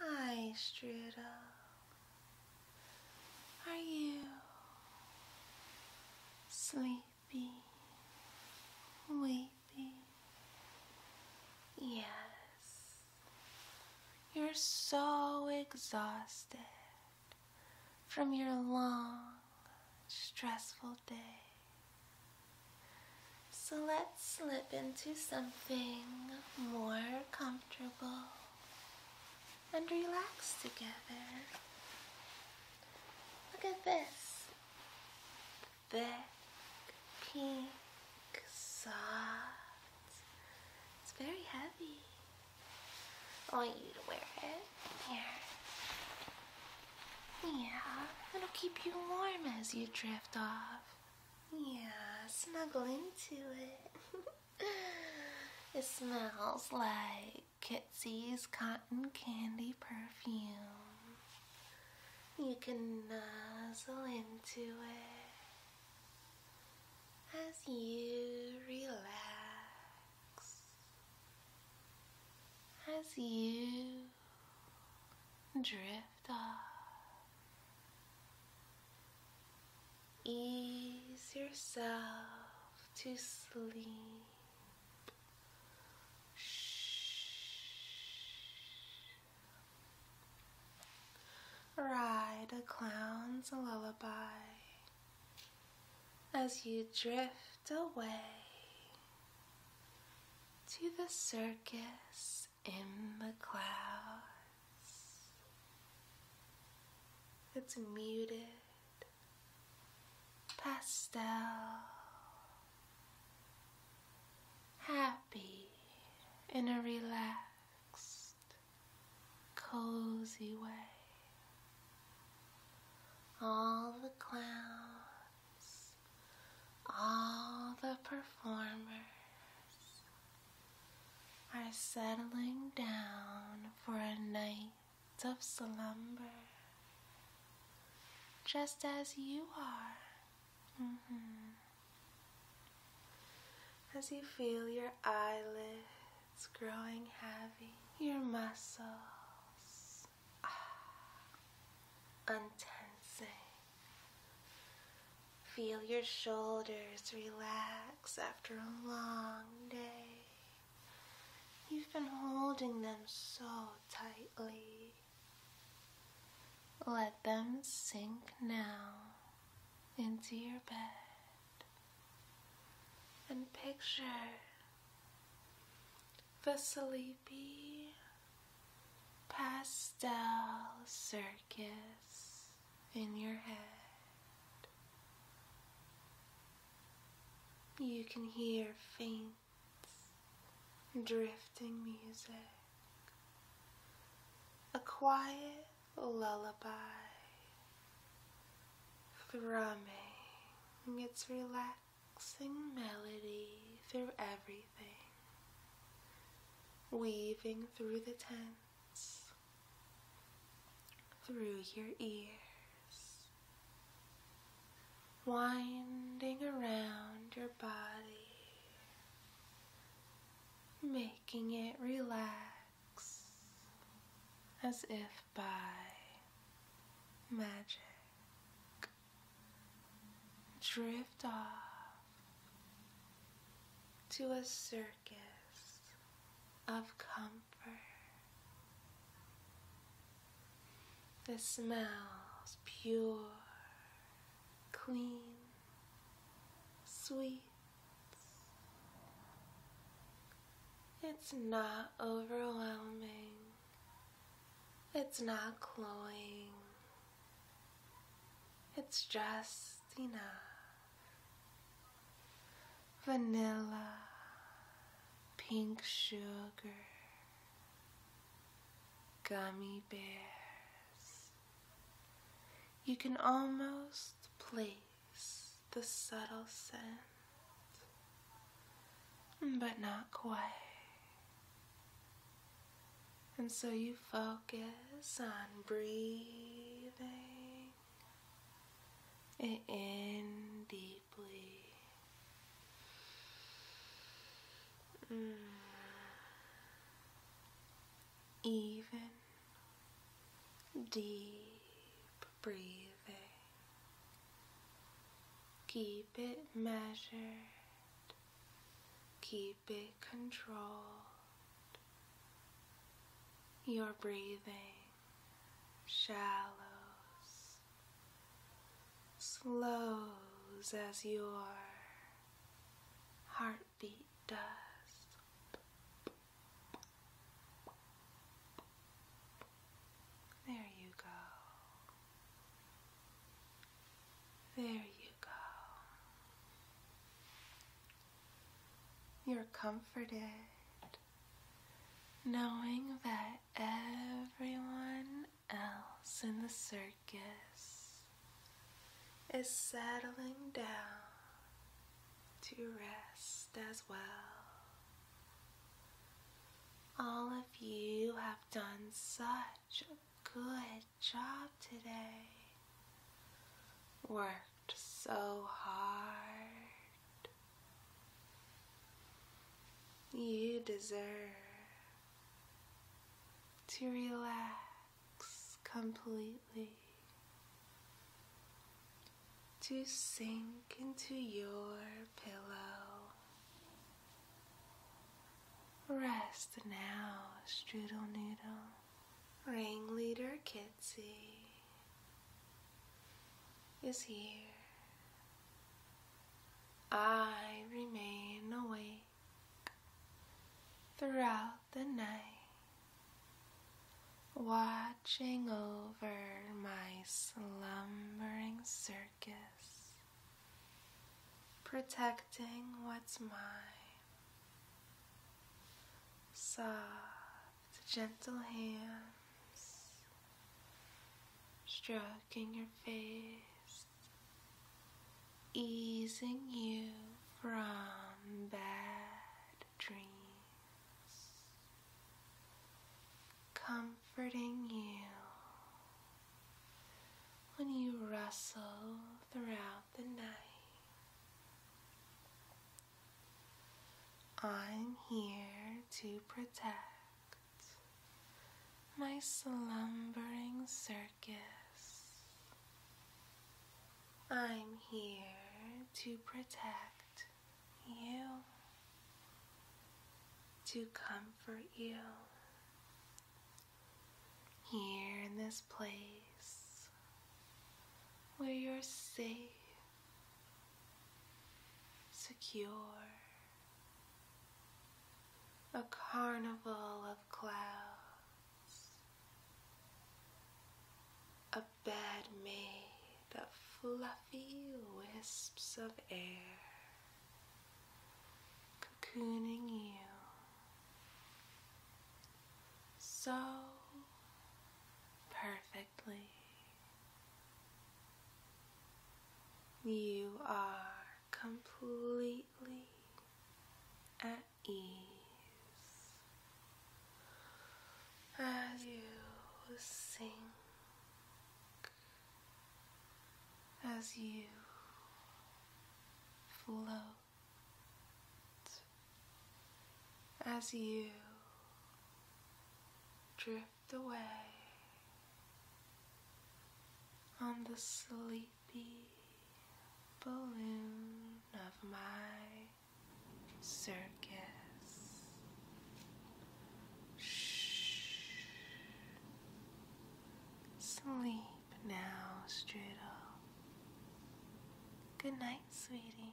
Hi, Strudel. Are you sleepy? Weepy? Yes. You're so exhausted from your long, stressful day. So let's slip into something more comfortable and relax together. Look at this thick, pink, soft. It's very heavy. I want you to wear it. Yeah. Yeah, it'll keep you warm as you drift off yeah, snuggle into it. it smells like Kitsy's cotton candy perfume. You can nuzzle into it as you relax, as you drift off. Ease yourself to sleep. Ride a clown's lullaby as you drift away to the circus in the clouds. It's muted, pastel, happy in a relaxed, cozy way. All the clowns all the performers are settling down for a night of slumber, just as you are. Mm-hmm. As you feel your eyelids growing heavy, your muscles untensing. Feel your shoulders relax after a long day. You've been holding them so tightly. Let them sink now into your bed. And picture the sleepy pastel circus in your head. You can hear faint drifting music, a quiet lullaby thrumming gets relaxed relaxing melody through everything, weaving through the tents, through your ears, winding around your body. Making it relax as if by magic drift off to a circus of comfort that smells pure, clean, sweet. It's not overwhelming. It's not glowing. It's just enough. Vanilla, pink sugar, gummy bears. You can almost place the subtle scent but not quite. And so you focus on breathing in deeply. Mm. Even deep breathing. Keep it measured, keep it controlled. Your breathing shallows, slows as your heartbeat does. There you go. There you go. You're comforted knowing that everyone else in the circus is settling down to rest as well. All of you have done such a good job today. Worked so hard. You deserve to relax completely to sink into your pillow. Rest now, Strudel Noodle, Ringleader Kitsy is here. I remain awake throughout the night watching over my slumbering circus, protecting what's mine. Soft, gentle hands stroking your face, easing you from bad dreams comforting you when you rustle throughout the night. I'm here to protect my slumbering circus. I'm here to protect you, to comfort you here in this place where you're safe, secure, a carnival of clouds, a bed made of fluffy wisps of air, cocooning you so perfectly. You are completely at as you sink, as you float, as you drift away on the sleepy balloon of my circus. Shh. Sleep now, Strudel. Good night, sweetie.